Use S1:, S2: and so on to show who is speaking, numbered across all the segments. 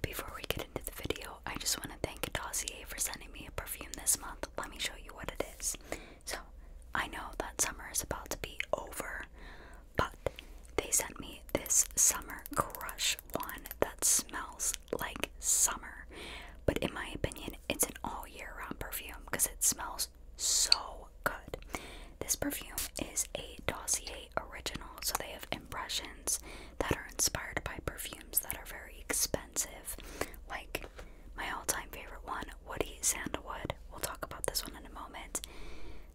S1: Before we get into the video, I just want to thank Dossier for sending me a perfume this month. Let me show you what it is. So, I know that summer is about to be over, but they sent me this Summer Crush one that smells like summer. But in my opinion, it's an all year round perfume because it smells so good. This perfume is a Dossier original. So they have impressions that are inspired by perfumes that are very expensive. Like my all time favorite one, Woody Sandalwood. We'll talk about this one in a moment.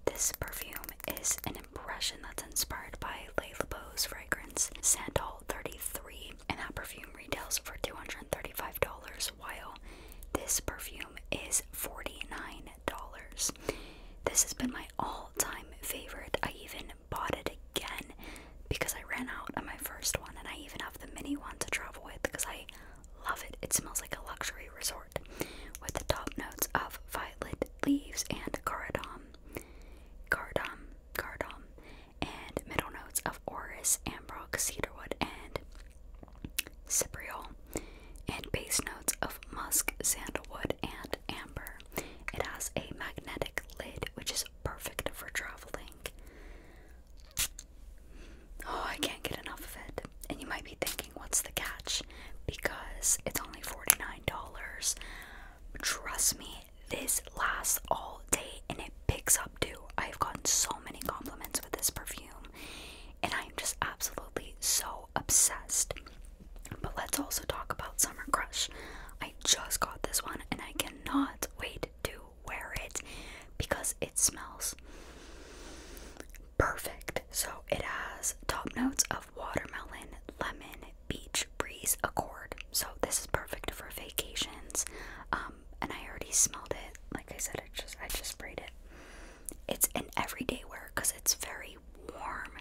S1: This perfume is an impression that's inspired by Le Labo's fragrance Sandal 33, and that perfume retails for $235, while this perfume is $49. This has been my all time favorite. I even bought it again because I ran out on my first one, and I even have the mini one to travel with because I love it. It smells like a luxury resort with the top notes of violet leaves and cardam, cardam, cardam, and middle notes of orris, ambrox, cedarwood, and Cypriol, and base notes of musk, sandalwood, and amber. It has a magnetic lid, which is perfect for traveling. Oh, I can't get enough of it. And you might be thinking, what's the catch? Because it's only $49. Trust me, this lasts all day and it picks up too. I've gotten so many compliments with this perfume, and I'm just absolutely so obsessed. But let's also talk about Summer Crush. I just got this one and I cannot wait to wear it because it smells perfect. So it has top notes of watermelon, lemon, beach breeze, accord. So this is perfect for vacations. Um, and I already smelled it. Like I said, I just I just sprayed it. It's an everyday wear because it's very warm,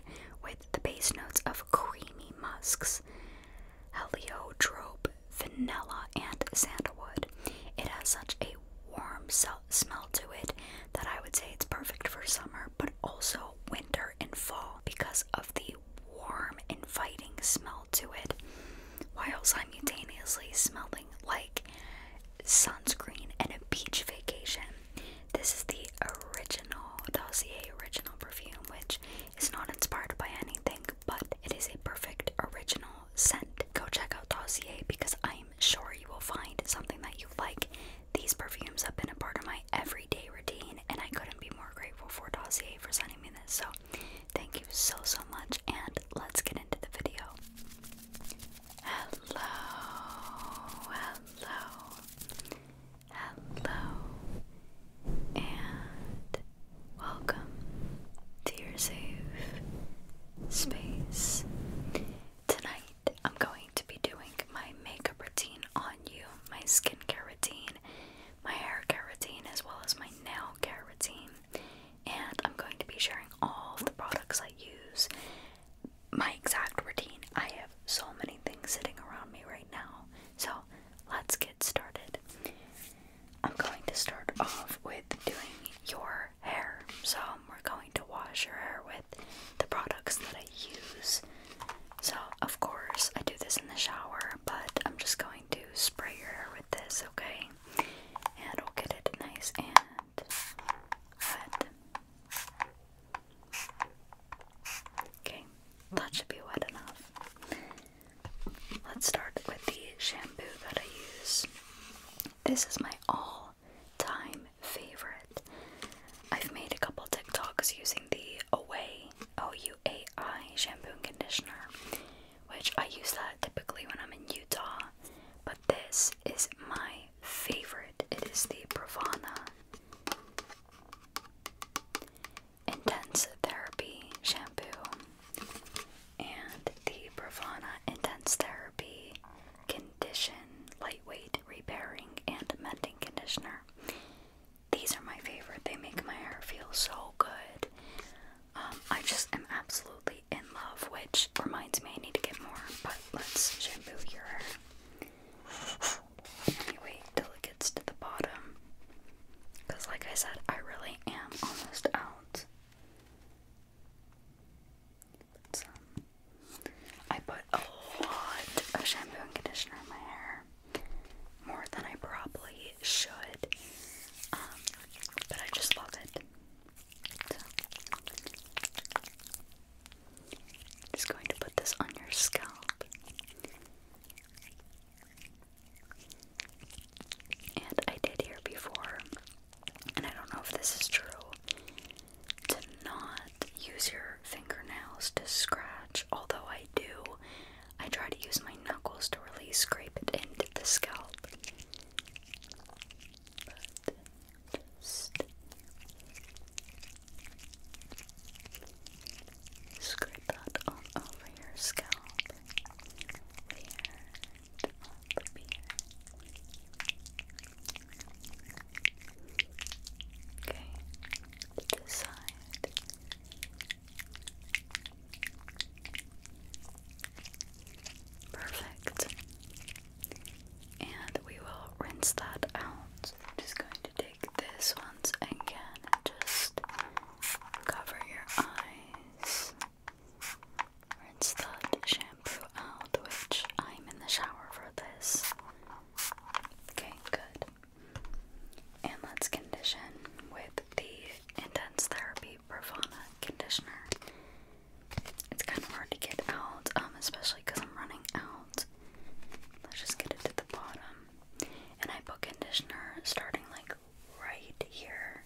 S1: with the base notes of creamy musks, heliotrope, vanilla, and sandalwood. It has such a warm smell to it that I would say it's perfect for summer, but also winter and fall because of the warm, inviting smell to it, while simultaneously smelling like sunscreen and a beach vacation. This is the original Dossier original perfume, which is not inspired by anything, but it is a perfect original scent. Go check out Dossier because I'm sure you will find something that you like. These perfumes have been a part of my everyday routine, and I couldn't be more grateful for Dossier for sending me this. So, thank you so so much, and let's get into the video. Hello, hello, Hello and welcome to your safe space. Tonight I'm going to be doing my makeup routine on you, my skincare routine, my hair routine, as well as my nail care routine. And I'm going to be sharing all of the products I use my exact routine. I have so many things sitting around me right now. So let's get started. I'm going to start off with doing your hair. So we're going to wash your hair with the products that I use. So, of course, I do this in the shower, but I'm just going to spray your hair with this, okay? And we'll get it nice and wet. Okay, that should be wet enough. Let's start with the shampoo that I use. This is my all time favorite. I've made a couple TikToks using the Away O U A I shampoo conditioner, which I use that typically when I'm in Utah, but this is my favorite. It is the Pravana Intense Therapy shampoo and the Bravana Intense Therapy Condition Lightweight Repairing and Mending Conditioner. These are my favorite. They make my hair feel so good. Um, I just am absolutely in love, which reminds me I need to get more, but let's shampoo your hair you wait till it gets to the bottom. Because, like I said, I really am almost out. But, um, I put a lot of shampoo and conditioner in my hair, more than I probably should. Um, but I just love it. I'm just going to put this on your scalp. And I did hear before, and I don't know if this is true, to not use your fingernails to scratch, although I do. I try to use my knuckles to really scrape it into the scalp. Scrape that all over your scalp, beard, on Okay, this side. Perfect. And we will rinse that out. I'm just going to do this once again and just cover your eyes. Rinse that shampoo out, which I'm in the shower for this. Okay, good. And let's condition with the Intense Therapy Pravana Conditioner. It's kind of hard to get out, um, especially because I'm running out Let's just get it to the bottom. And I put conditioner starting like right here.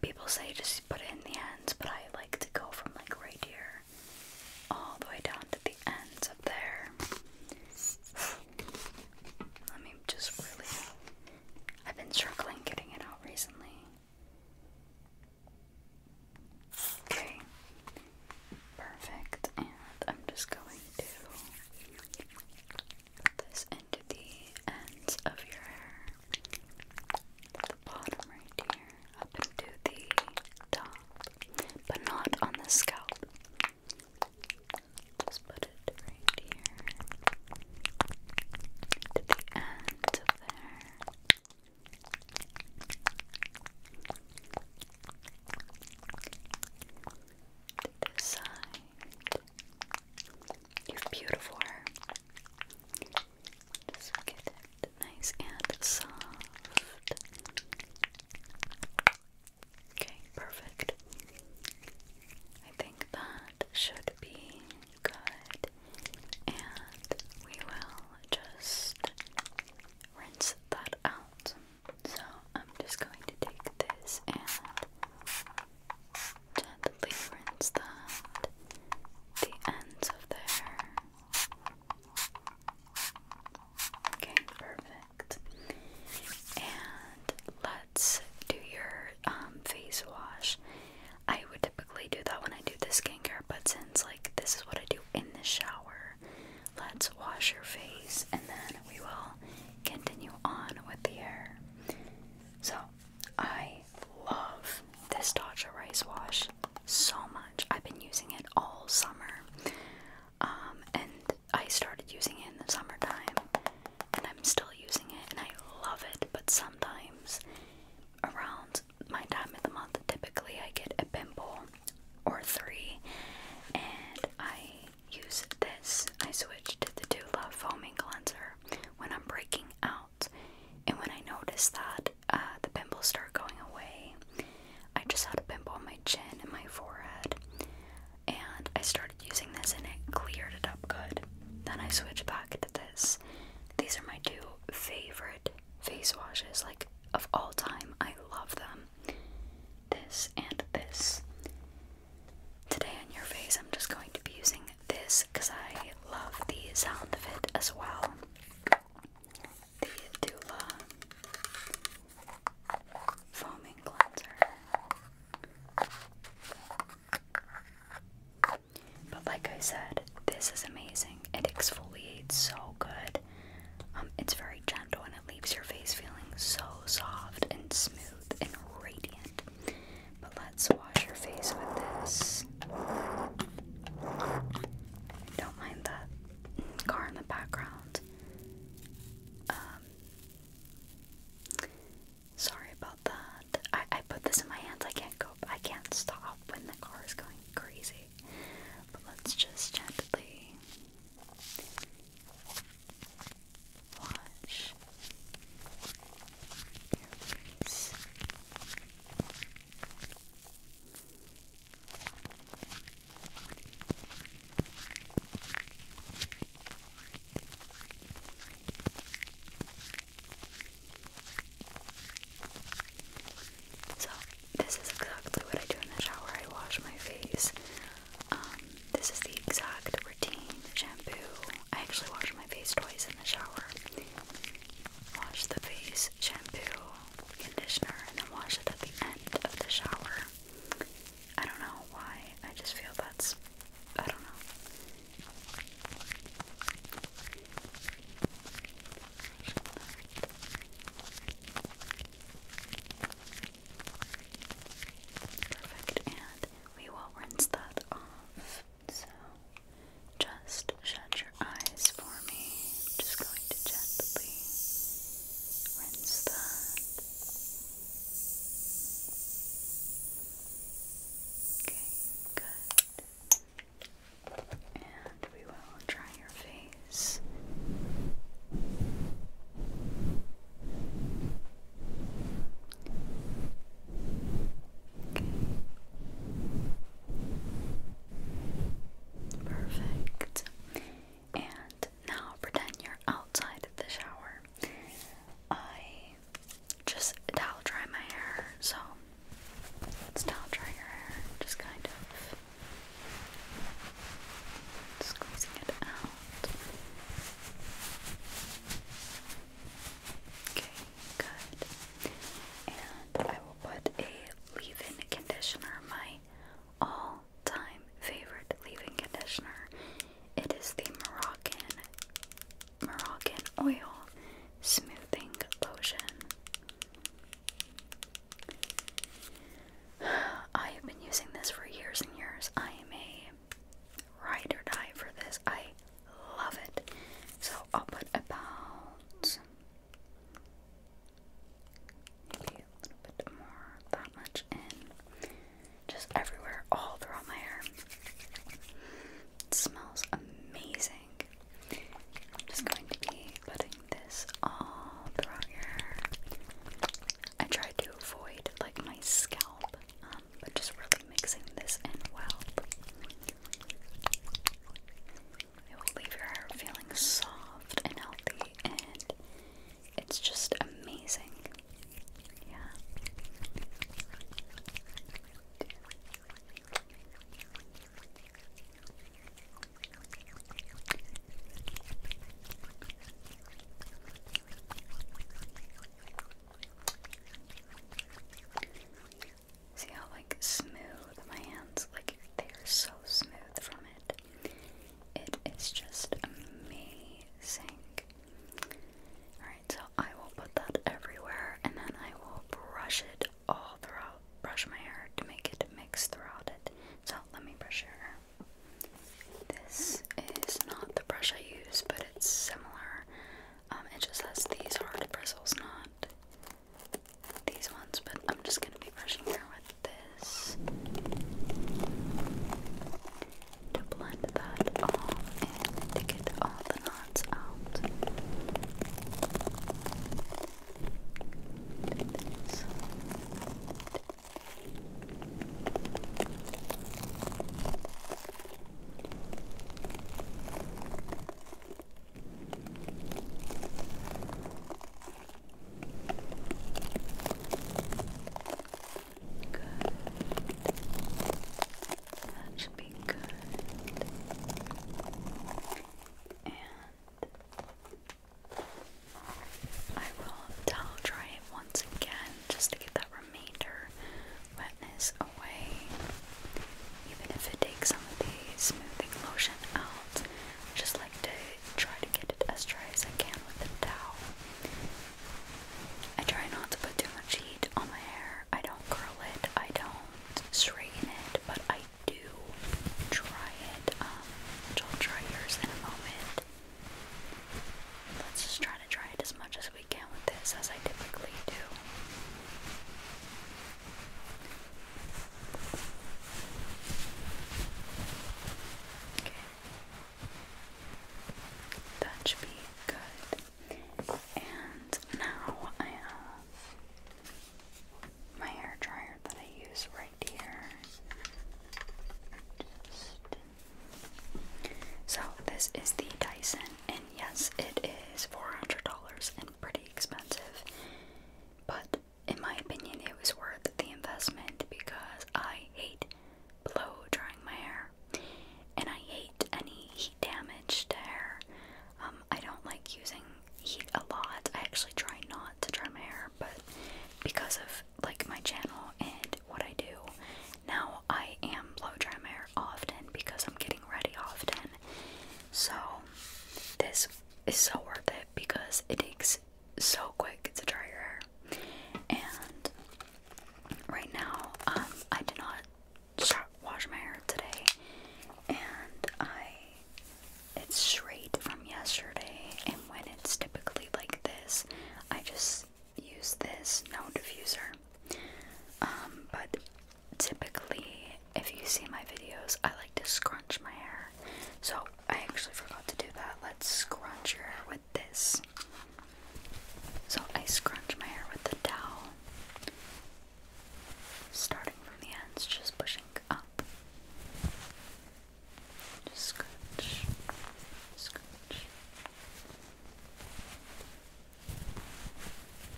S1: People say just put it in the ends, but I like to go from like right here all the way down to the ends up there. Let me just I've been struggling getting it out recently. Okay, perfect. And I'm just going to put this into the ends of your hair, the bottom right here, up into the top, but not on the scalp. Just put it right here to the end there. To You are beautiful Just get it nice and soft. Okay, perfect. I think that should be good. And we will just rinse that out. So I'm just going to take this and gently rinse that the ends of there. Okay, perfect. And let's do your um, face wash. I would typically do that when I do the skincare, but since like this is what I do in the shower, Let's wash your face and then we will continue on with the hair. So, I love this Tatcha Rice Wash so much. I've been using it all summer. Um, and I started using it in the summertime, and I'm still using it, and I love it. But sometimes, around my time of the month, typically I get a pimple, or three, and I use this. I switch to the Dula foaming cleanser when I'm breaking out, and when I notice that uh, the pimples start going away, I just had a pimple on my chin and my forehead, and I started using this, and it cleared it up good. Then I switch back to this. These are my two favorite face washes, like of all time. I love them. This and this. Today on your face, I'm just going to be using this because I love the sound of it as well. The Dula foaming cleanser. But like I said, this is amazing. It exfoliates so good. Um, it's very gentle and it leaves your face feeling so soft and smooth and radiant. But let's wash your face with this. Don't mind the car in the background. Um, sorry about that. I, I put this in my hands. I can't go. I can't stop when the car is going crazy let's just gently watch your face. So this is exactly what I do in the shower. I wash my face. Um, this is the exact routine shampoo. I actually wash my face twice in the shower. Wash the face, shampoo, conditioner, and then wash it at the end of the shower. I don't know why. I just feel that's. I don't know. Perfect, and we will rinse that off. So just shut your eyes for me. just going to gently rinse that. Okay, good. And we will dry your face. Perfect. And now pretend you're outside the shower. I just towel dry my hair, so let's towel dry your hair, just kind of Squeezing it out. Okay, good. And I will put a leave-in conditioner, my all-time favorite leave-in conditioner. It is the Moroccan Moroccan oil smoothing lotion. I have been using this for years and years. I am a ride or die for this. I love it. So I'll put about maybe a little bit more, that much in. Just everywhere, all throughout my hair. It smells amazing. I'm just going to be putting this all throughout your. I try to avoid like my scalp, um, but just really mixing this in well. It will leave your hair feeling soft and healthy, and it's just amazing. Yeah. See how like smooth my hands like they're so smooth from it. It is just amazing. Alright, so I will put that everywhere and then I will brush it all throughout brush my hair to make it mix throughout it. So let me brush your hair. This is not the brush I use, but it's similar. Um, it just has these hard bristles, not these ones, but I'm just gonna be brushing here with this to blend that all in to get all the knots out this. Good. That should be good. And I will towel dry it once again just to get that remainder wetness away. Even if it takes some of the smoothing lotion out, just like to try to get it as dry as I can with the towel. I try not to put too much heat on my hair. I don't curl it, I don't straighten it, but I do try it, um, I'll try yours in a moment. Let's just try to try it as much as we can with this, as I typically do. Okay. That should be good. And now I have my hair dryer that I use right here. So, this is the Dyson, and yes, it is $400 and pretty expensive, but in my opinion, it was worth the investment because I hate blow drying my hair and I hate any heat damage to hair. Um, I don't like using heat a lot. I actually try not to dry my hair, but because of like my channel and what I do, now I am blow dry my hair often because I'm getting ready often. So this is so worth it because it takes so quick to dry your hair. And right now, um, I did not wash my hair today, and I it's straight from yesterday, and when it's typically like this, I just use this no diffuser. Um, but typically, if you see my videos, I like to scrunch my hair. So I actually forgot to do that. Let's scrunch your hair with this. So I scrunch my hair with the towel, starting from the ends, just pushing up. Just scratch, scratch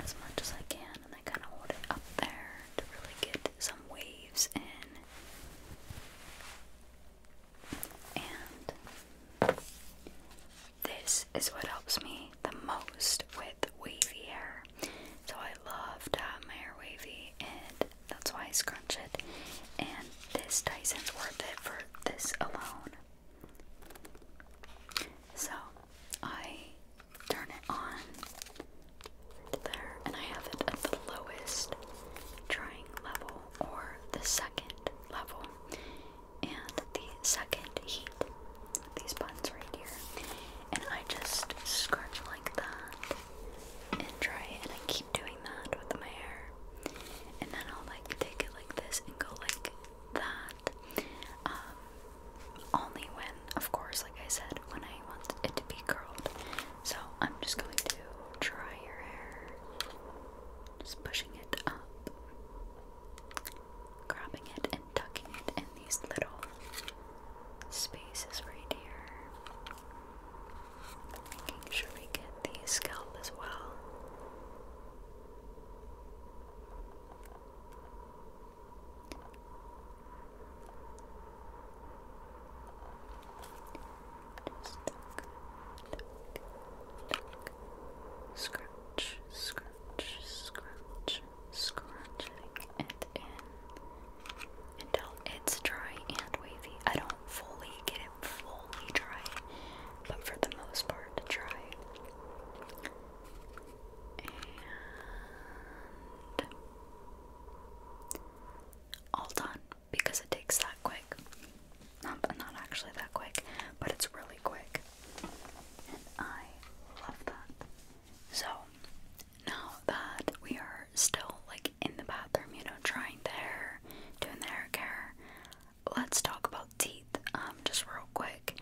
S1: as much as I can, and I kind of hold it up there to really get some waves in. And this is what helps me the most with wavy hair. So I love to my hair wavy, and that's why I scrunch it. And this Dyson's worth it for this alone. So I turn it on there, and I have it at the lowest drying level or the second level. And the second heat, these buttons right here. And I just scrunch that and dry it. And I keep doing that with my hair. And then I'll like take it like this and go like that. Um, only when, of course, like I said, when I want it to be curled. So I'm just going to dry your hair, just pushing it up, grabbing it, and tucking it in these little space is right here. Making sure we get the scalp as well. Scratch, scratch, scratch, scratching at it until it's dry and wavy. I don't fully get it fully dry, but for the most part, dry. And all done because it takes that quick. not actually that quick, but it's really quick. And I love that. So, now that we are still like in the bathroom, you know, trying their hair, doing their hair care, let's talk about teeth, um, just real quick.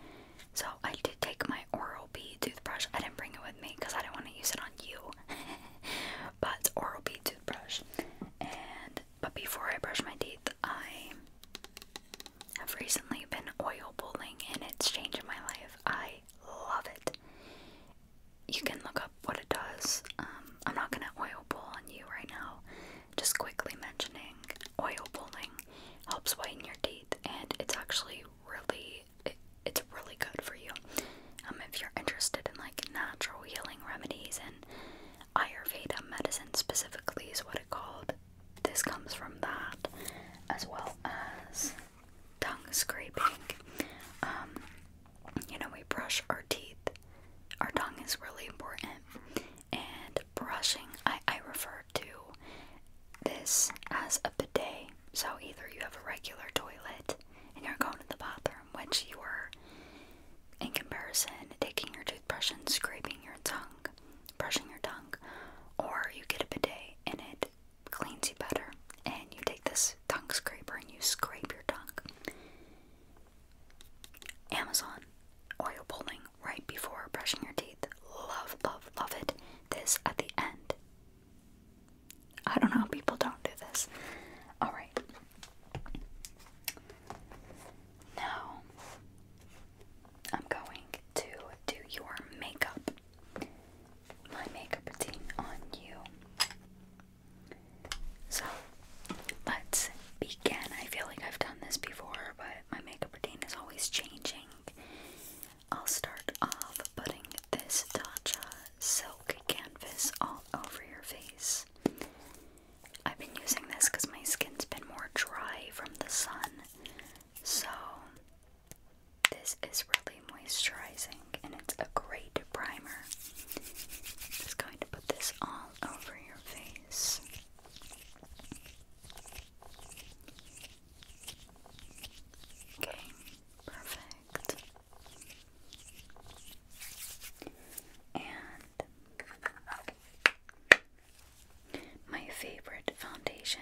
S1: So I did take my Oral B toothbrush. I didn't bring it with me because I didn't want to use it on you. but Oral B toothbrush. And but before I brush my teeth, I have recently been oil pulling and it's changing my life. I love it you can look up what it does. Um, I'm not gonna oil pull on you right now. Just quickly mentioning oil pulling helps whiten your teeth, and it's actually really it's really good for you. Um, if you're interested in like natural healing remedies and Ayurveda medicine specifically is what it called. This comes from that, as well as tongue scraping. Um, you know, we brush our teeth. Our tongue is really important. And brushing, I, I refer to this as a bidet. So either you have a regular toilet and you're going to the bathroom, which you are, in comparison, taking your toothbrush and scraping your tongue, brushing your tongue, or you get a bidet in it cleans you better. And you take this tongue scraper and you scrape your tongue. Amazon oil pulling right before brushing your teeth. Love, love, love it. This at the end. I don't know people don't do this. Alright. Now, I'm going to do your makeup my makeup routine on you. So let's begin. I feel like I've done this before, but my makeup routine is always changing. I'll start off putting this Tatcha silk canvas all over your face. I've been using this because my skin's been more dry from the sun, so this is really moisturizing and it's a great primer. I'm just going to put this all over your face. Okay, perfect. And my favorite foundation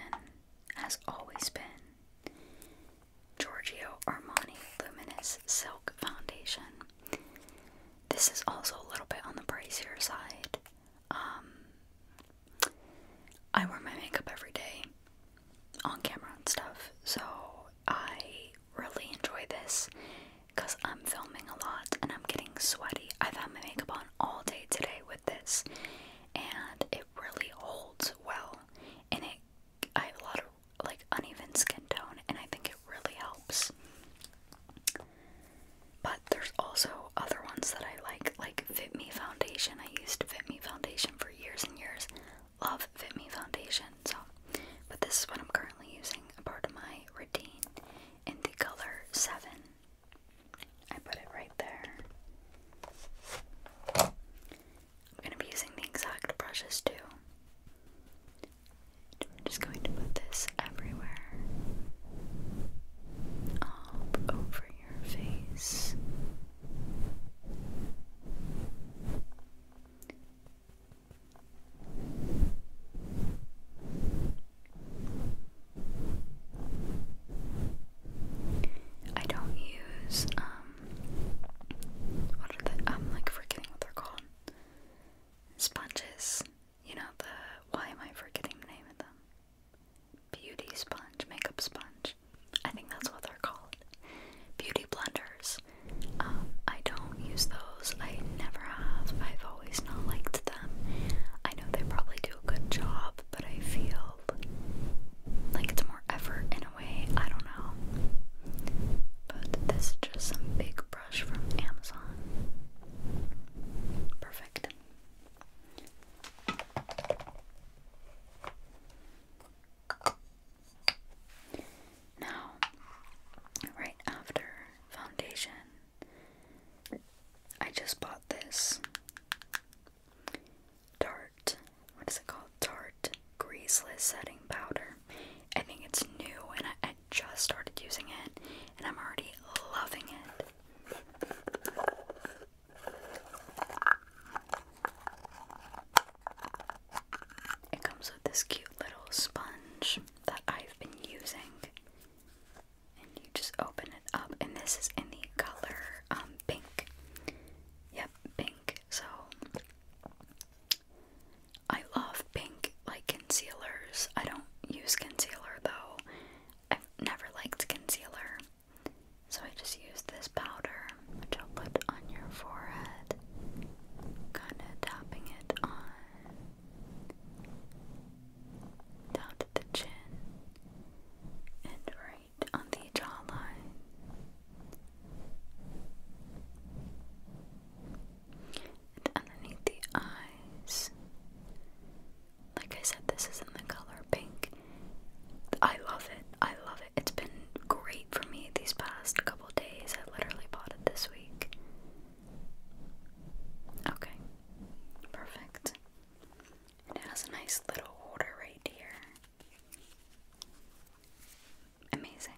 S1: has always been Giorgio Armani Luminous Silk Foundation. This is also a little bit on the pricier side. Um, I wear my makeup every day on camera and stuff, so I really enjoy this because I'm filming a lot and I'm getting sweaty. I've had my makeup on all day today with this, and it really holds well. And it, I have a lot of like uneven skin tone, and I think it really helps. But there's also other ones that I like, like Fit Me Foundation. I used Fit Me Foundation for years and years. Love Fit Me Foundation. So, but this is what I'm currently using, a part of my routine in the color seven. I put it right there. I'm going to be using the exact brushes too. I'm just going to put this everywhere. Up over your face. I don't use um, what are they? I'm like forgetting what they're called. Sponges. You know the why am I forgetting the name of them? Beauty sponge, makeup sponge. I think that's what they're called. Beauty blenders. Um, I don't use those. I never have. I've always not liked them. I know they probably do a good job, but I feel like it's more effort in a way. I don't know. But this is just some big brush from Amazon. Perfect. Now, right after foundation, I just bought this. Tarte, what is it called? Tarte Greaseless Setting Powder. I think it's new and I, just started using it and I'm already loving it. It comes with this cute little sponge that I've been using. And you just open it up, and this is in the color um, pink. Yep, pink. So I love pink like concealers. I don't use concealer though. I've never liked concealer. So I just use this powder, which I'll put on your forehead. Kinda tapping it on down to the chin and right right the jawline. And underneath the eyes. Like I said, this is in the color pink. I love it. I love it. It's been great for me these past couple days. I literally bought it this week. Okay. Perfect. It has a nice little order right here. Amazing.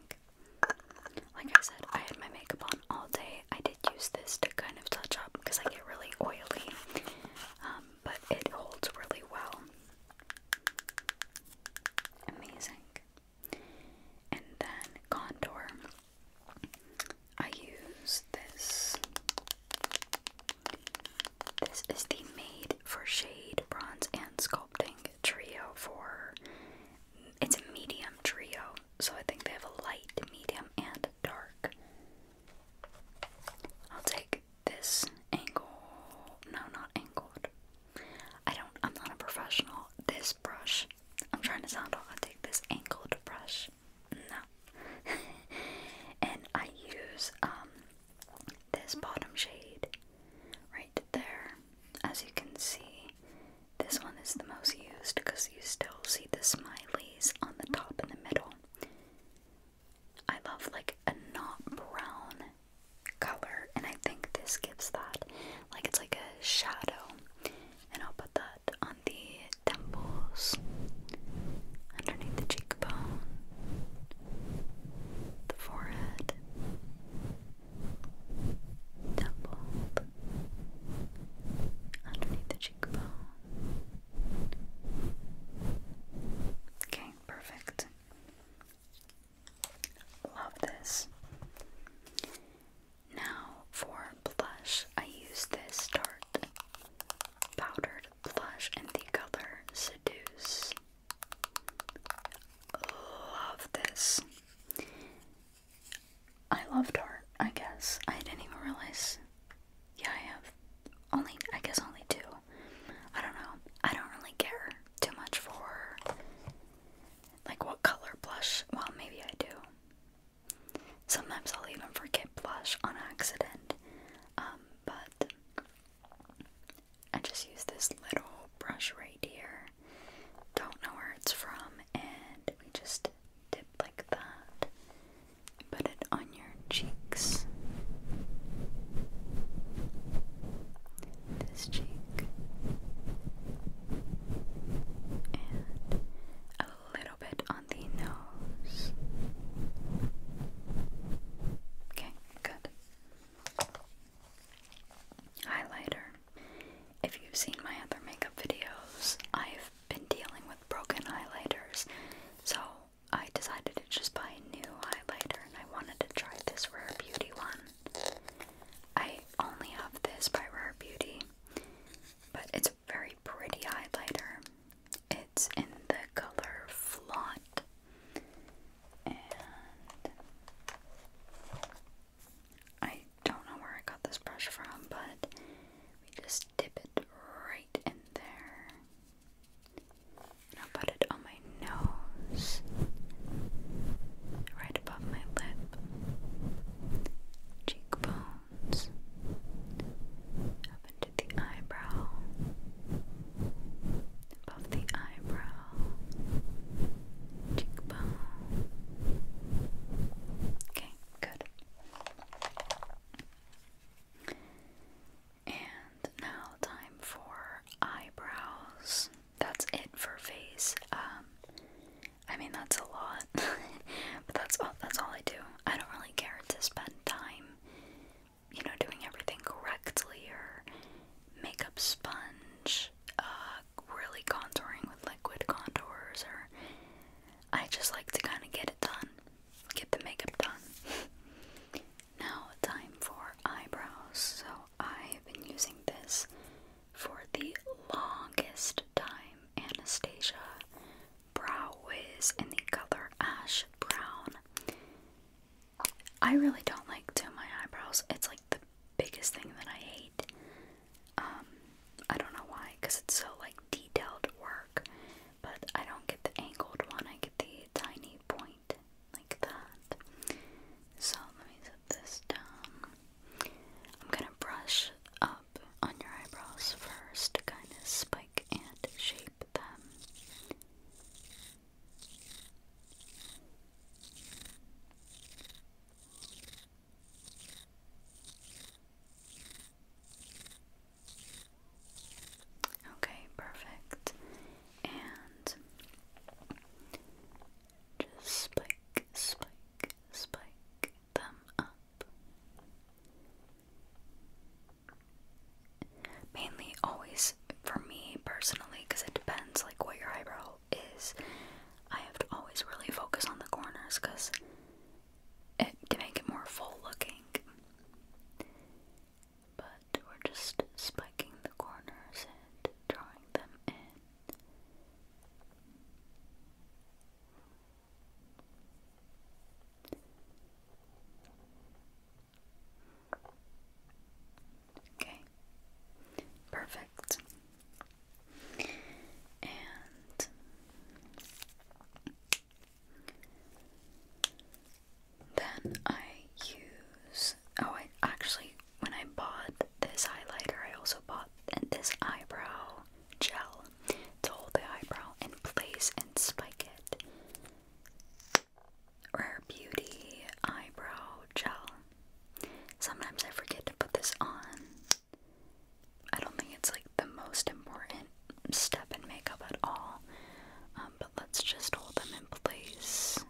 S1: Like I said, I had my makeup on all day. I did use this to kind of touch up because I get really oily, um, but it holds really well. Amazing. And then contour. I use this. This is the Made for Shade Bronze and Sculpt trio for it's a medium trio, so I think they have a light, medium, and dark. I'll take this angle. No, not angled. I don't. I'm not a professional. This brush. I'm trying to sound off. I'll take this angled brush. No. and I use um this bottom shade right there. As you can see, this one is the most used because you still see the smileys on the top and the middle. I love like a not brown color, and I think this gives that. Like it's like a shadow. And I'll put that on the temples, underneath the cheekbone, the forehead doubled underneath the cheekbone. Okay, perfect. Love this. Now for blush, I use this Tarte powdered blush in the color Seduce. Love this. I love art, I guess. I didn't even realize. Yeah, I have only, I guess, only two. I don't know. I don't really care too much for like what color blush. Well, maybe I do. Sometimes I'll even forget blush on accident. Um, but I just use this little brush right here. Don't know where it's from, and we just dip like that. Put it on your cheeks. This cheek. And a little bit on the nose. Okay, good. Highlighter. If you've seen my other makeup videos, I've been dealing with broken highlighters, so I decided to just buy a new highlighter and I wanted to try this Rare Beauty one. I only have this by Rare Beauty, but it's a very pretty highlighter. It's in the color Flaunt I don't know where I got this brush from, but we just dip it right in there. i put it on my nose, right above my lip, cheekbones, up into the eyebrow, above the eyebrow, cheekbone. Okay, good. And now time for eyebrows. That's it for face. Um, I mean that's a lot, but that's all. That's all I do. I don't really care to spend time you know, doing everything correctly or makeup sponge, uh, really contouring with liquid contours, or I just like to kind of get it done, get the makeup done. now, time for eyebrows. So, I've been using this for the longest time Anastasia Brow Wiz in the color Ash Brown. I really don't like doing my eyebrows. It's like the biggest thing that I hate. Um, I don't know why, because it's so like detailed work. But I don't get the angled one. I get the tiny point like that. So let me set this down. I'm gonna brush up on your eyebrows first to kind of spike and shape them. Okay, perfect. And just spike, spike, spike them up mainly always for me personally because it depends like what your eyebrow is I have to always really focus on the corners because it can make it more full looking but we're just spiking the corners and drawing them in Okay, perfect. And then I use oh, I actually when I bought this highlighter, I also bought this eyebrow gel to hold the eyebrow in place and spike it. Rare Beauty Eyebrow Gel. Sometimes I forget to put this on. I don't think it's like the most important step in makeup at all, um, but let's just hold them in place.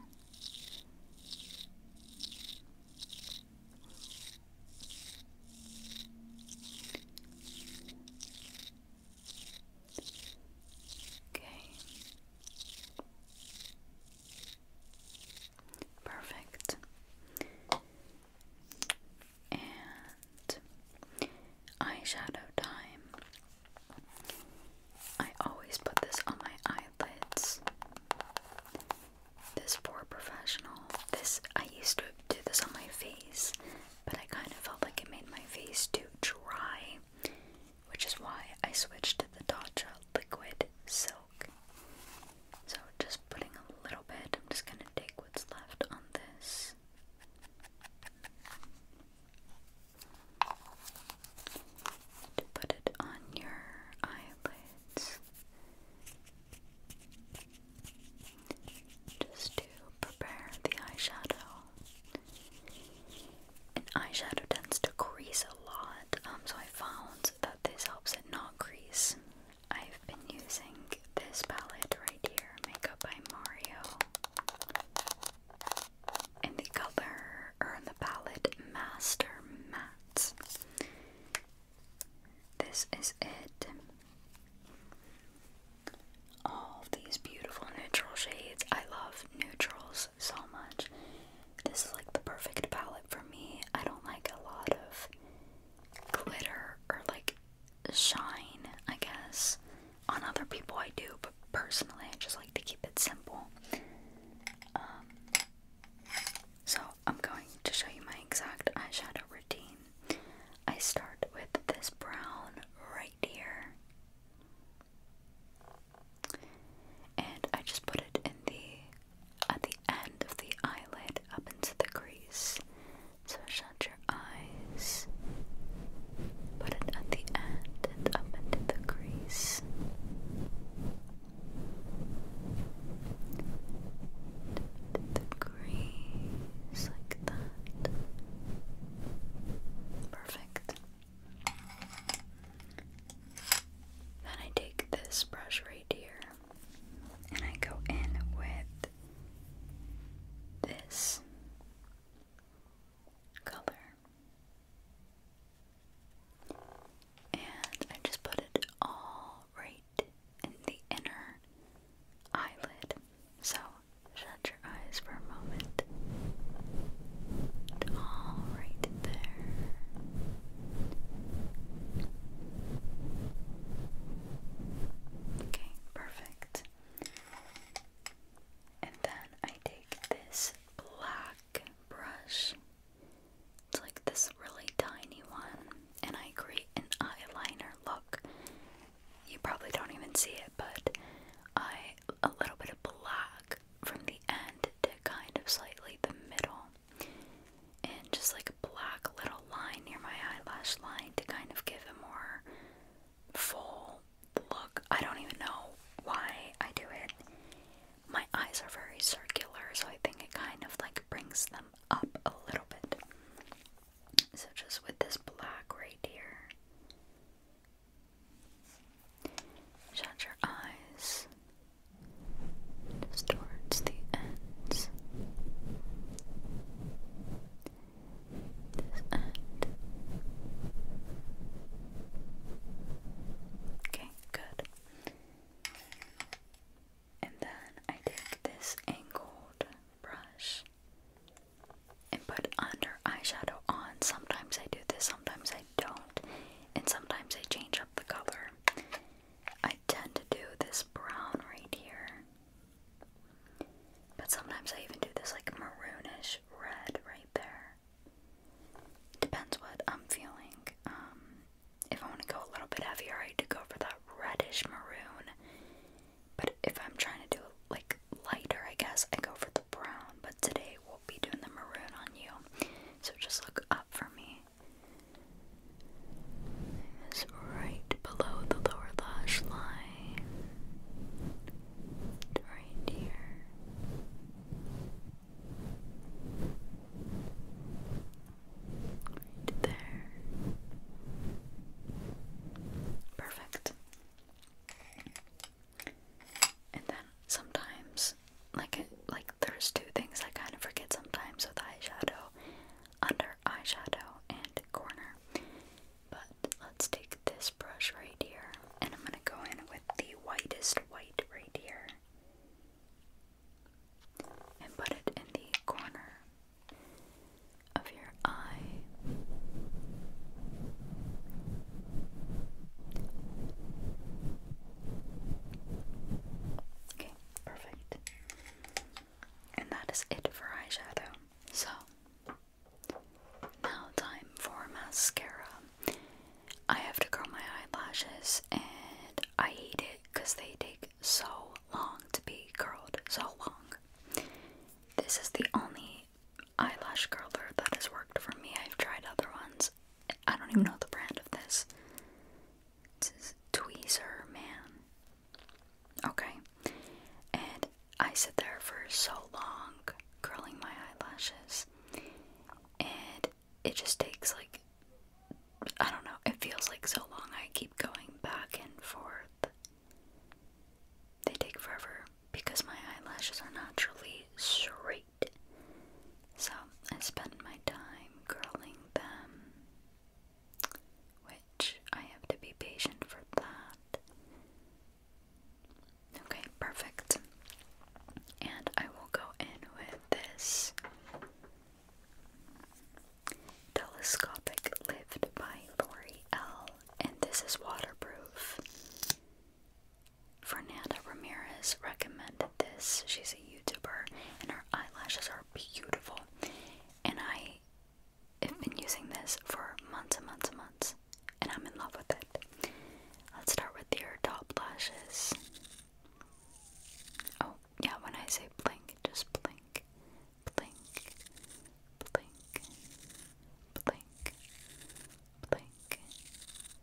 S1: Okay. Perfect. And eyeshadow time. I always put this on my eyelids. This poor professional. This I used to do this on my face, but I kind of felt like it made my face too dry which is why I switched to the Tatcha liquid silk. So just putting a little bit, I'm just gonna take what's left on this. To put it on your eyelids, just to prepare the eyeshadow. And eyeshadow tends to crease a lot, um, so I found that this helps it not crease. I've been using this palette right here, Makeup by Mario. And the color, or the palette, Master Matte. This is it. All these beautiful neutral shades. I love neutrals so much. This is like the perfect palette for me. I don't like a lot of glitter or like shine, I guess. On other people, I do, but personally, I just like to keep it simple. Um, so, I'm going to show you my exact eyeshadow routine. I start with this brown right here. And I just put it in the at the end of the eyelid up into the crease. So shut your eyes. Put it at the end and up into the crease. The crease like that. Perfect. Then I take this brush right here and I go in with this color. And I just put it all right in the inner eyelid. So shut your eyes for a moment. all right there. Okay, perfect. And then I take this black brush. It's like this really tiny one, and I create an eyeliner look. You probably don't even see it, but I a little bit of black from the end to kind of slightly the middle, and just like a black little line near my eyelash line to kind of give a more full look. I don't even know why I do it. My eyes are very circular, so I think it kind of like brings them up a little bit. So, just with this black right here, Shut your eyes just towards the ends. This end. Okay, good. And then I take this angled brush and put under eyeshadow on. Sometimes I do this, sometimes I don't. And sometimes I change up the color. I tend to do this brown right here. But sometimes I even do this like maroonish red right there. Depends what I'm feeling. Um, if I want to go a little bit heavier, I do go for that reddish maroon. But if I'm trying to do like lighter, I guess I go for the brown. But today be doing the maroon on you. So just look up for me. It's right below the lower lash line. Right here. Right there. Perfect. And then sometimes, like like there's two things I kind of forget sometimes with eyeshadow, under eyeshadow and corner. But let's take this brush right here, and I'm gonna go in with the whitest white right here, and put it in the corner of your eye. Okay, perfect. And that is it for eyeshadow. So, now time for mascara. I have to curl my eyelashes and I hate it because they take so long to be curled. So long. This is the only eyelash curler that has worked for me. I've tried other ones. I don't even know the brand of this. This is Tweezer Man. Okay. And I sit there for so long curling my eyelashes. And it just takes like I don't know, it feels like so long I keep going back and forth. They take forever because my eyelashes are naturally straight. So I spend my time curling them, which I have to be patient for that. Okay, perfect. And I will go in with this telescopic lift by L'Oreal, and this is waterproof. Fernanda Ramirez recommended this. She's a YouTuber and her eyelashes are beautiful. And I have been using this for months and months and months. And I'm in love with it. Let's start with your top lashes. Oh, yeah, when I say blink, just blink, blink, blink, blink, blink,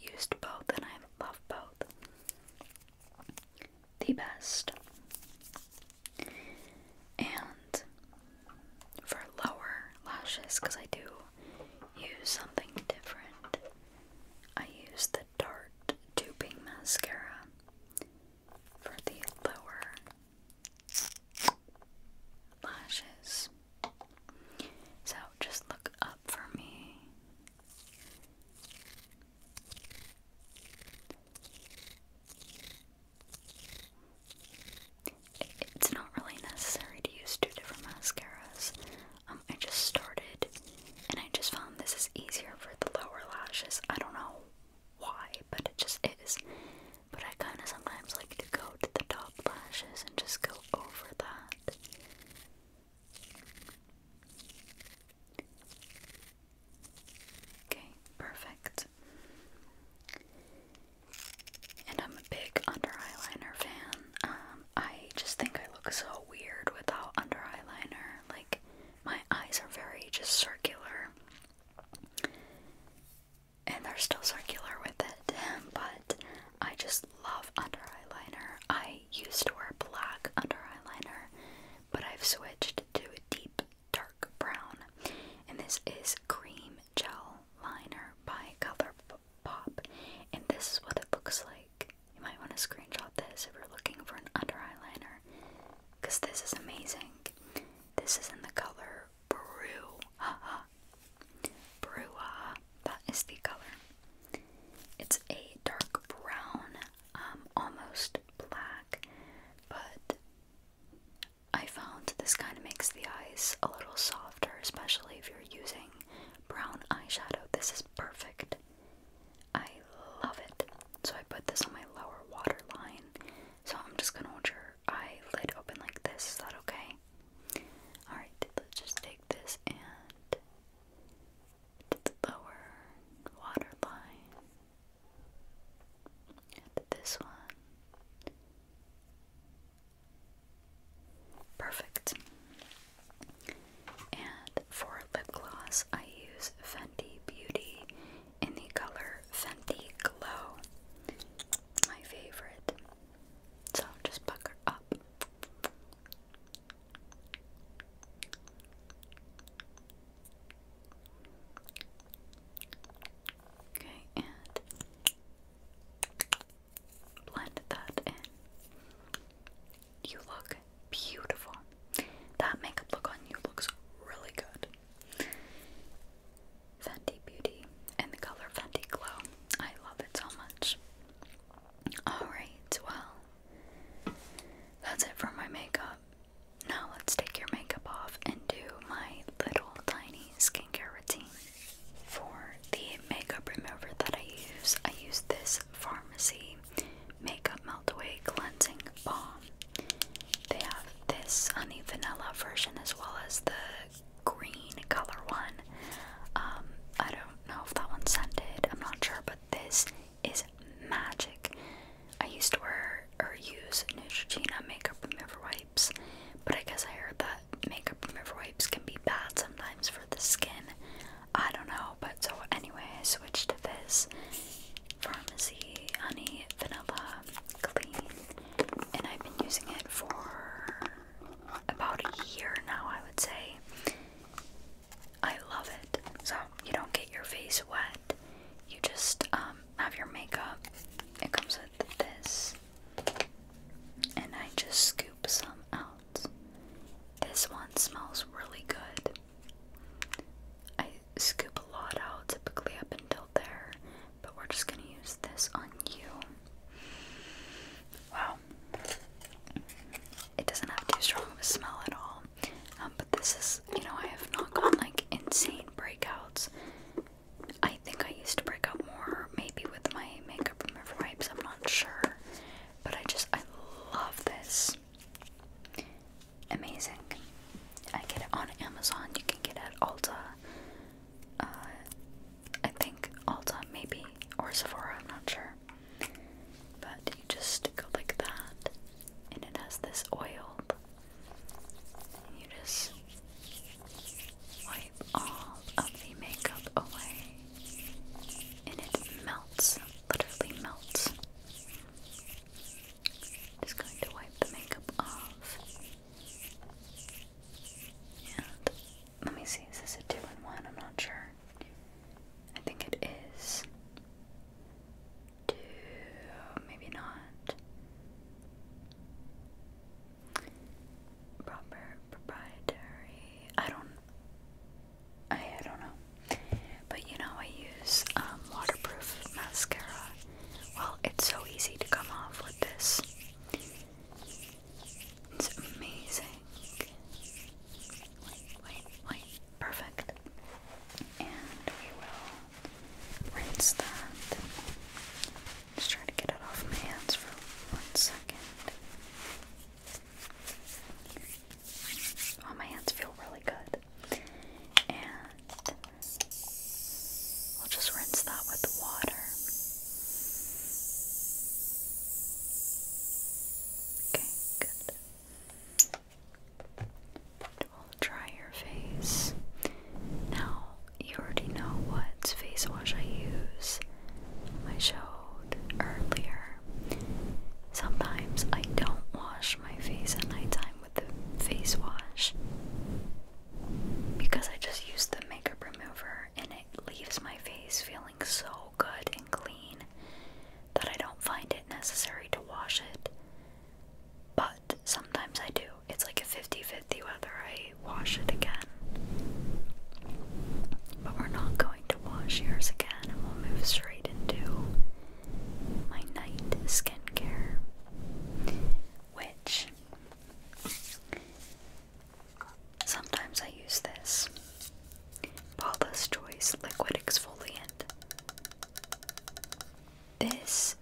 S1: used both and I love both. The best. And for lower lashes, because I do use something different, I use the Dart Duping Mascara for the lower lashes. So just look up for me. It's not really necessary to use two different mascaras. Um, I just started and I just found this is easier for the lower lashes. I don't know why, but it just is. But I kind of sometimes like to go to the top lashes and just go over that. Okay, perfect. And I'm a big under eyeliner fan. Um, I just think I look so weird without under eyeliner. Like, my eyes are very just circular. And they're still circular with it, but I just love under eyeliner. I used to wear black under eyeliner, but I've switched to a deep dark brown. And this is Cream Gel Liner by Color Pop. And this is what it looks like. You might want to screenshot this if you're looking for an under eyeliner. Because this is amazing. This is in the color Brew. Brewa. That is the color. It's a dark brown, um, almost black, but I found this kind of makes the eyes a little softer, especially if you're using brown eyeshadow. This is perfect. I love it. So I put this on my lower waterline. So I'm just gonna hold your eye lid open like this. Is that okay? Alright, let's just take this and the lower water and this one. Perfect. And for lip gloss, I use Fenty Beauty in the color Fenty Glow. My favorite. So just pucker up. Okay, and blend that in. You look beautiful. That makeup look on you looks really good. Fenty Beauty in the color Fenty Glow. I love it so much. Alright, well, that's it for my makeup. Now let's take your makeup off and do my little tiny skincare routine. For the makeup remover that I use, I use this Pharmacy Makeup Melt Away Cleansing Balm. They have this honey vanilla version as well as the green color one. Um, I don't know if that one's scented, I'm not sure, but this is magic. I used to wear or use Neutrogena makeup remover wipes, but I guess I heard that makeup remover wipes can be bad sometimes for the skin. I don't know, but so anyway, I switched to this Pharmacy Honey Vanilla Clean, and I've been using it for about a year now, I would say. I love it. So you don't get your face wet. You just um, have your makeup. It comes with this. And I just scoop some out. This one smells really good. I scoop a lot out, typically up until there, but we're just gonna use this on you. Wow. It doesn't have too strong of a smell at all. Um, but this is, you know, I have not gotten like insane breakouts. I think I used to break out more, maybe with my makeup remover wipes, I'm not sure. But I just, I love this. Amazing. I get it on Amazon, you can get it at Ulta uh, I think Ulta maybe, or Sephora, I'm not sure. But you just go like that, and it has this oil. And you just wipe all of the makeup away, and it melts, literally melts. Just going to wipe the makeup off. Let me see, is this a 2 in 1? I'm not sure. I think it is. 2, maybe not. Proper proprietary. I don't. I, I don't know. But you know, I use um, waterproof mascara. Well, it's so easy to come off with this. It's amazing. Wait, wait, Perfect. And we will rinse that. Just try to get it off my hands for one second. Oh, my hands feel really good. And we'll just rinse that with water. Okay, good. we'll dry your face. Now, you already know what face wash I use. I showed earlier. Sometimes I don't wash my face at night time with the face wash because I just use the makeup remover and it leaves my face feeling so good and clean that I don't find it necessary to wash it. But sometimes I do. It's like a 50 50 whether I wash it again. But we're not going to wash yours again, and we'll move straight into my night skincare. Which Sometimes I use this Paula's Choice Liquid Exfoliant. This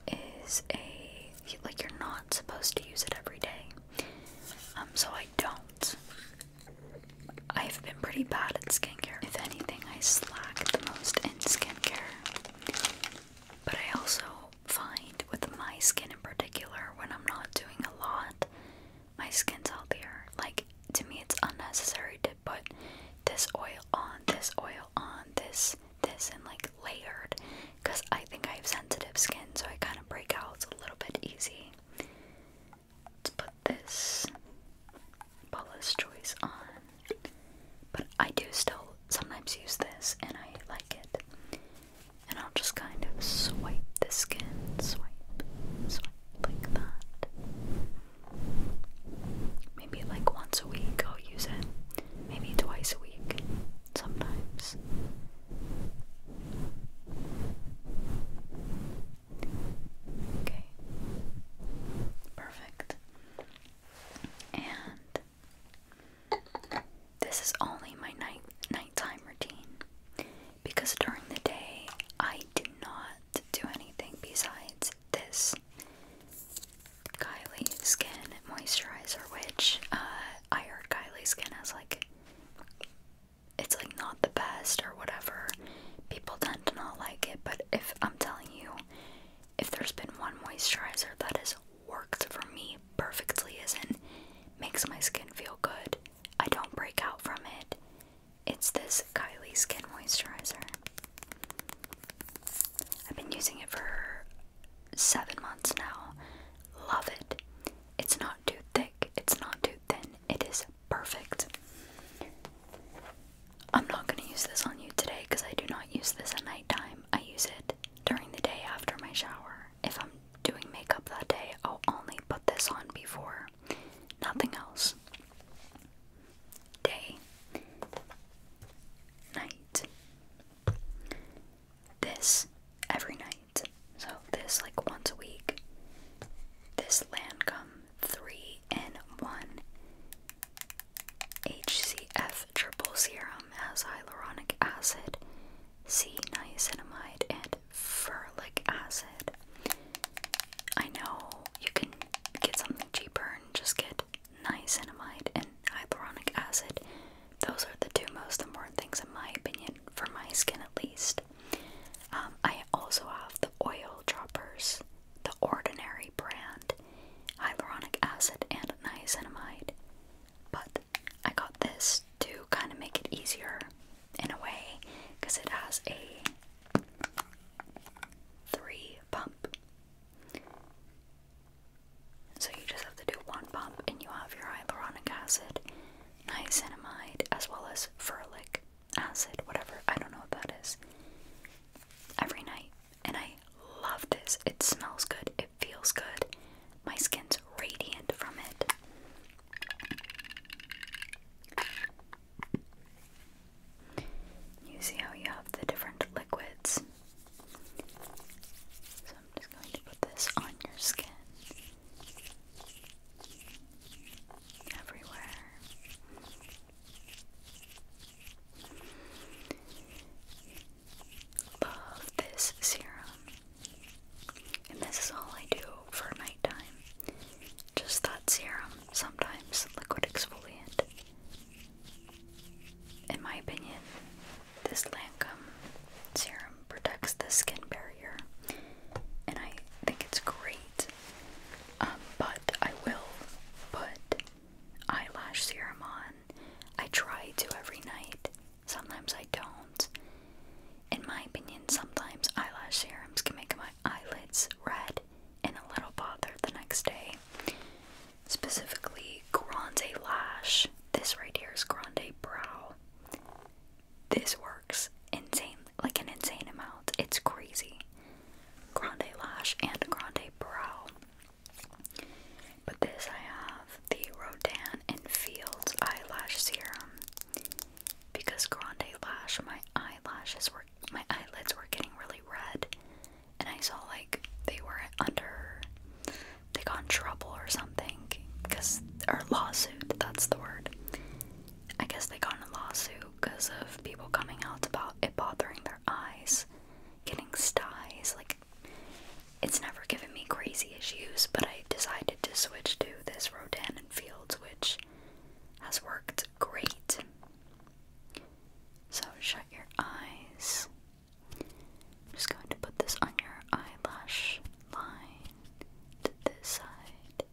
S1: is a like you're not supposed to use it every day, um, so I don't. I've been pretty bad at skincare. If anything, I slack the most in skincare. But I also find with my skin in particular, when I'm not doing a lot, my skin's healthier. Like, to me, it's unnecessary to put this oil on, this oil on, this, this, and like layered because I think I have sensitive skin, so I kind of break out a little bit easy. let put this Paula's Choice on. But I do still sometimes use this and I like it. And I'll just kind of swipe the skin, swipe, swipe like that. Maybe like once a week I'll use it, maybe twice a week sometimes. Okay, perfect. And this is only my night nighttime routine because during the day I do not do anything besides this Kylie Skin moisturizer, which uh, I heard Kylie Skin has like it's like not the best or whatever. People tend to not like it, but if I'm telling you, if there's been one moisturizer that has worked for me perfectly, as in makes my skin feel good, I don't break out from it. It's this Kylie Skin Moisturizer. I've been using it for seven months now. Love it. It's not too thick, it's not too thin, it is perfect. I'm not going to use this on you today because I do not use this at night time. I use it during the day after my shower if I'm doing makeup that day, I'll only put this on before, nothing else. Day, night. This every night. So this like once a week. This Lancome 3 in 1 HCF triple serum has hyaluronic acid, C niacinamide, and furlic acid. I know you can get something cheaper and just get niacinamide and hyaluronic acid. Those are the two most important things, in my opinion, for my skin at least. Um, I also have the oil droppers, the Ordinary brand, hyaluronic acid, and niacinamide. But I got this to kind of make it easier in a way because it has a three pump. So you just have to do one pump and you have your hyaluronic acid, niacinamide, as well as furlic acid, whatever, I don't know what that is. Every night. And I love this. It smells good. It feels good. My skin's radiant from it. You see how you have the different liquids. So I'm just going to put this on your skin. Everywhere. Love this serum. And this is all I do for nighttime. Just that serum, sometimes liquid exfoliant. In my opinion, this Lancome serum protects the skin barrier, and I think it's great. Um, but I will put eyelash serum on. I try to every night. Sometimes I don't. In my opinion, sometimes eyelash serums can make my eyelids red and a little bothered the next day. Specifically, Grande Lash. This right here is Grande Brow. This works insane, like an insane amount. It's crazy. Grande Lash and Grande Brow. But this I have the Rodan and Fields eyelash serum because Grande Lash, my eyelashes were my eyelids were getting really red, and I saw like they were under they got in trouble or something because or lawsuit that's the word. I guess they got in a lawsuit because of people coming out about it bothering their eyes, getting styes like it's never given me crazy issues, but I decided to switch to this Rodan and Fields, which has worked great. So shut your eyes. I'm just going to put this on your eyelash line this side.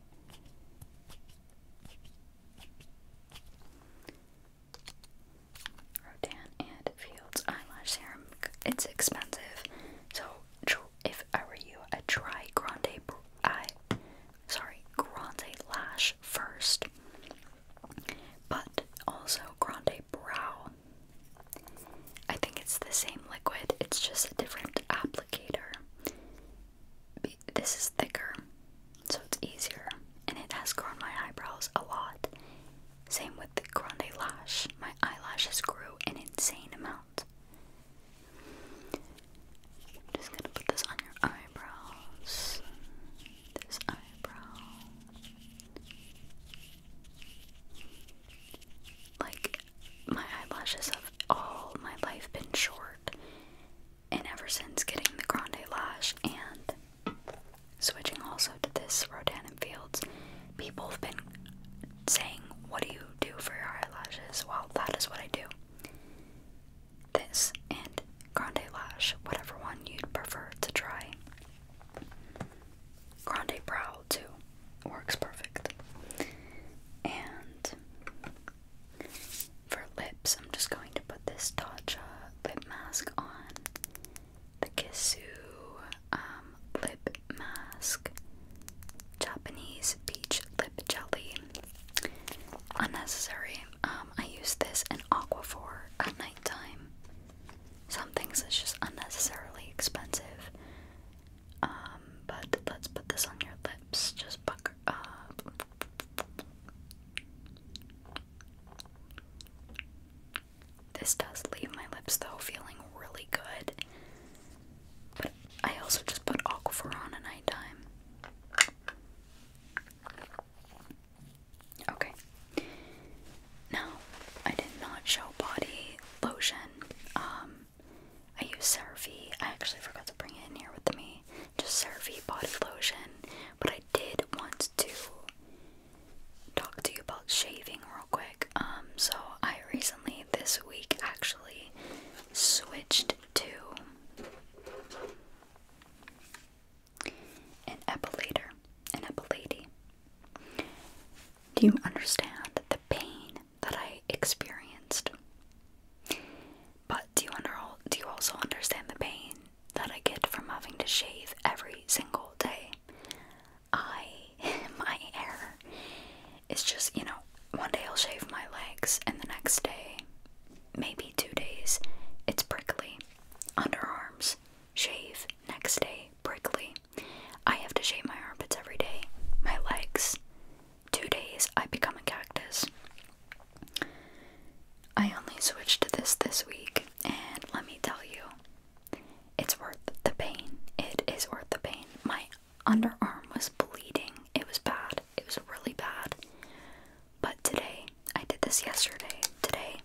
S1: Rodan and Fields eyelash serum. It's expensive, so if I were you, i uh, try grande I sorry, grande lash first. But also grande brow. I think it's the same liquid, it's just a different applicator. This is thicker, so it's easier, and it has grown my eyebrows a lot. Same with the grande lash, my eyelashes grew an insane amount. I'm just gonna put this on your eyebrows. This eyebrow. Like, my eyelashes have all my life been short. And ever since getting the Grande Lash and switching also to this Rodan Fields, people have been saying, What do you do for your eyelashes? Well, that is what I do. This and Grande Lash, whatever one you'd prefer to try. Grande Brow, too, works perfect. And for lips, I'm just going to put this Tatcha lip mask on. The Kissu um, lip mask, Japanese peach lip jelly. Unnecessary. Um, I use this in Aquaphor at nighttime. Some things is just unnecessarily expensive. Um, but let's put this on your lips. Just pucker up. This does leave my lips though feeling really good. But I also just put Aquaphor on at night time. Okay. Now, I did not show body lotion. Um, I use Cerave. I actually forgot to bring it in here with me. Just Cerave body lotion. But I did want to talk to you about shaving real quick. Um, so I recently, this week, actually switched to an epilator, an epilady. Do you understand the pain that I experienced? But do you under do you also understand the pain that I get from having to shave every single day? I my hair is just, you know, one day I'll shave my legs and the next day, maybe two days, it's prickly. Underarms, shave, next day, prickly. I have to shave my armpits every day. My legs, two days, I become a cactus. I only switched to this this week, and let me tell you, it's worth the pain. It is worth the pain. My underarm was bleeding. It was bad. It was really bad. But today, I did this yesterday. Today,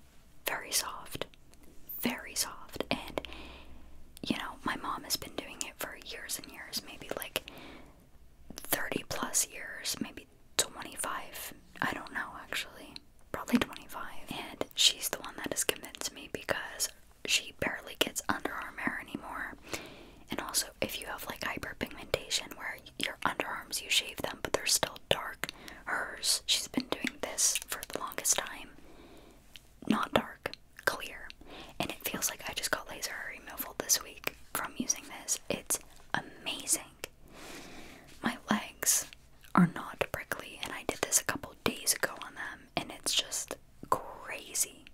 S1: very soft. Very soft. And, you know, my mom has been doing it for years and years, maybe like 30 plus years, maybe 25. I don't know actually. Probably 25. And she's the one that has convinced me because she barely gets underarm hair anymore. And also, if you have like hyperpigmentation where your underarms you shave them, but they're still dark, hers, she's been doing this for the longest time. Not dark, clear. And it feels like I just got laser removal this week from using this. It's amazing. My legs are not prickly, and I did this a couple days ago on them, and it's just crazy.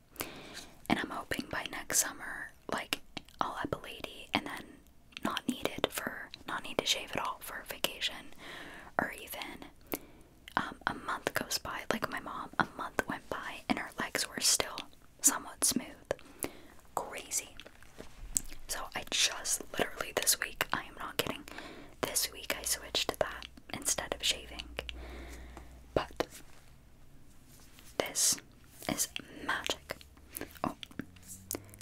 S1: And I'm hoping by next summer, like, I'll have a lady and then not needed for not need to shave at all for vacation, or even um, a month goes by. Like my mom, a month went by and her legs were still somewhat smooth. Crazy. So I just literally this week, I am not kidding, this week I switched to that instead of shaving. But this is magic. Oh,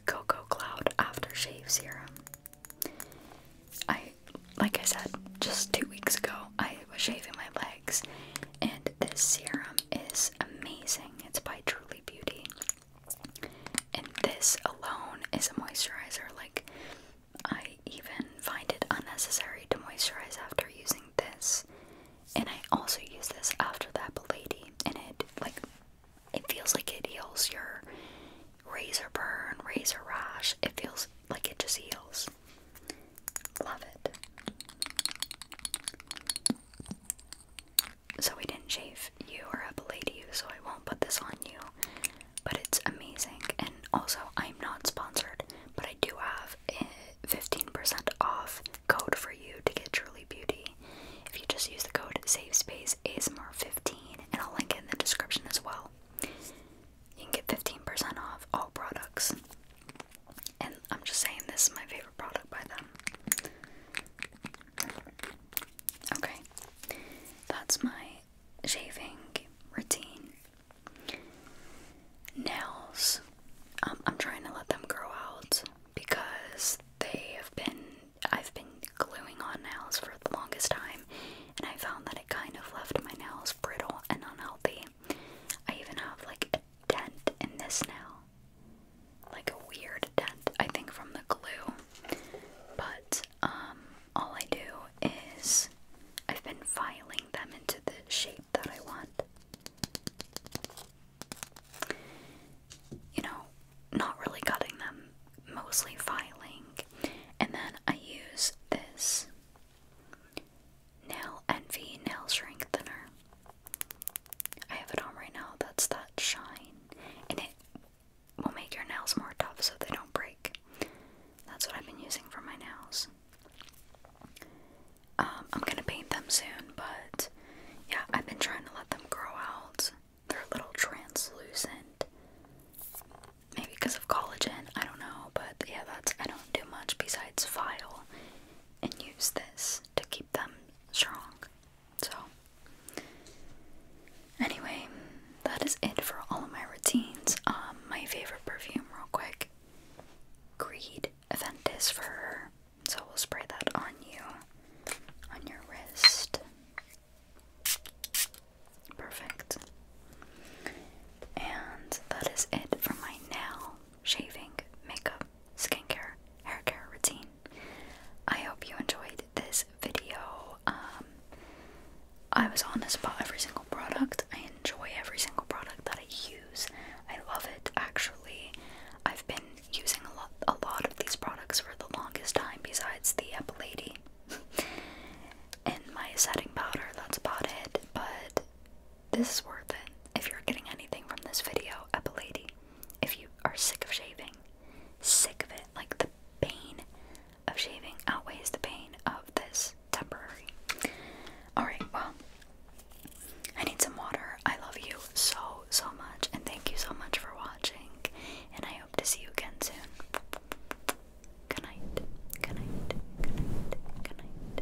S1: Cocoa Cloud Shave Serum. I, like I said just two weeks ago, I was shaving my legs, and this serum is amazing. It's by Truly Beauty. And this alone is a moisturizer. Like, I even find it unnecessary to moisturize after using this. And I also use this after that balady, and it like it feels like it heals your razor burn, razor rash. It feels like it just heals. Love it. So we didn't shave you or a balady you, so I won't put this on you but it's amazing. And also, I'm not sponsored, but I do have a 15% off code for you to get Truly Beauty if you just use the code savespaceasmr 15 and I'll link it in the description as well. You can get 15% off all products. And I'm just saying, this is my favorite product by them. Okay, that's my shaving routine. Nails. Um, I'm trying to let them grow out because they have been. I've been gluing on nails for the longest time, and I found that it kind of left my nails brittle and unhealthy. I even have like a dent in this nail, like a weird dent, I think, from the glue. But um, all I do is I've been filing them into the shape that I want. You know, not really cutting them, mostly filing. And then I use this Nail Envy Nail Shrink Thinner. I have it on right now, that's that shine. And it will make your nails more tough so they don't break that's what I've been using for my nails. Um, I'm gonna paint them soon, but yeah, I've been trying to let them grow out. They're a little translucent. Maybe because of collagen, I don't know, but yeah, that's I don't do much besides file and use this to keep them strong. So, anyway, that is it for all of my routines. Um, my favorite perfume, real quick Creed Aventus for her. So we'll spray that on you, on your wrist. Perfect. And that is it for my nail, shaving, makeup, skincare, hair care routine. I hope you enjoyed this video. Um, I was honest about every single product. I enjoy every single product that I use. I love it actually. I've been using a lot a lot of these products for the longest time besides the Epilady and my setting powder. That's about it. But this is worth it. If you're getting anything from this video, Epilady. If you are sick of shaving, sick of it, like the pain of shaving outweighs the pain of this temporary. Alright, well, I need some water. I love you so, so much, and thank you so much for watching, and I hope to see you again soon. Good night, good night, good night, good night.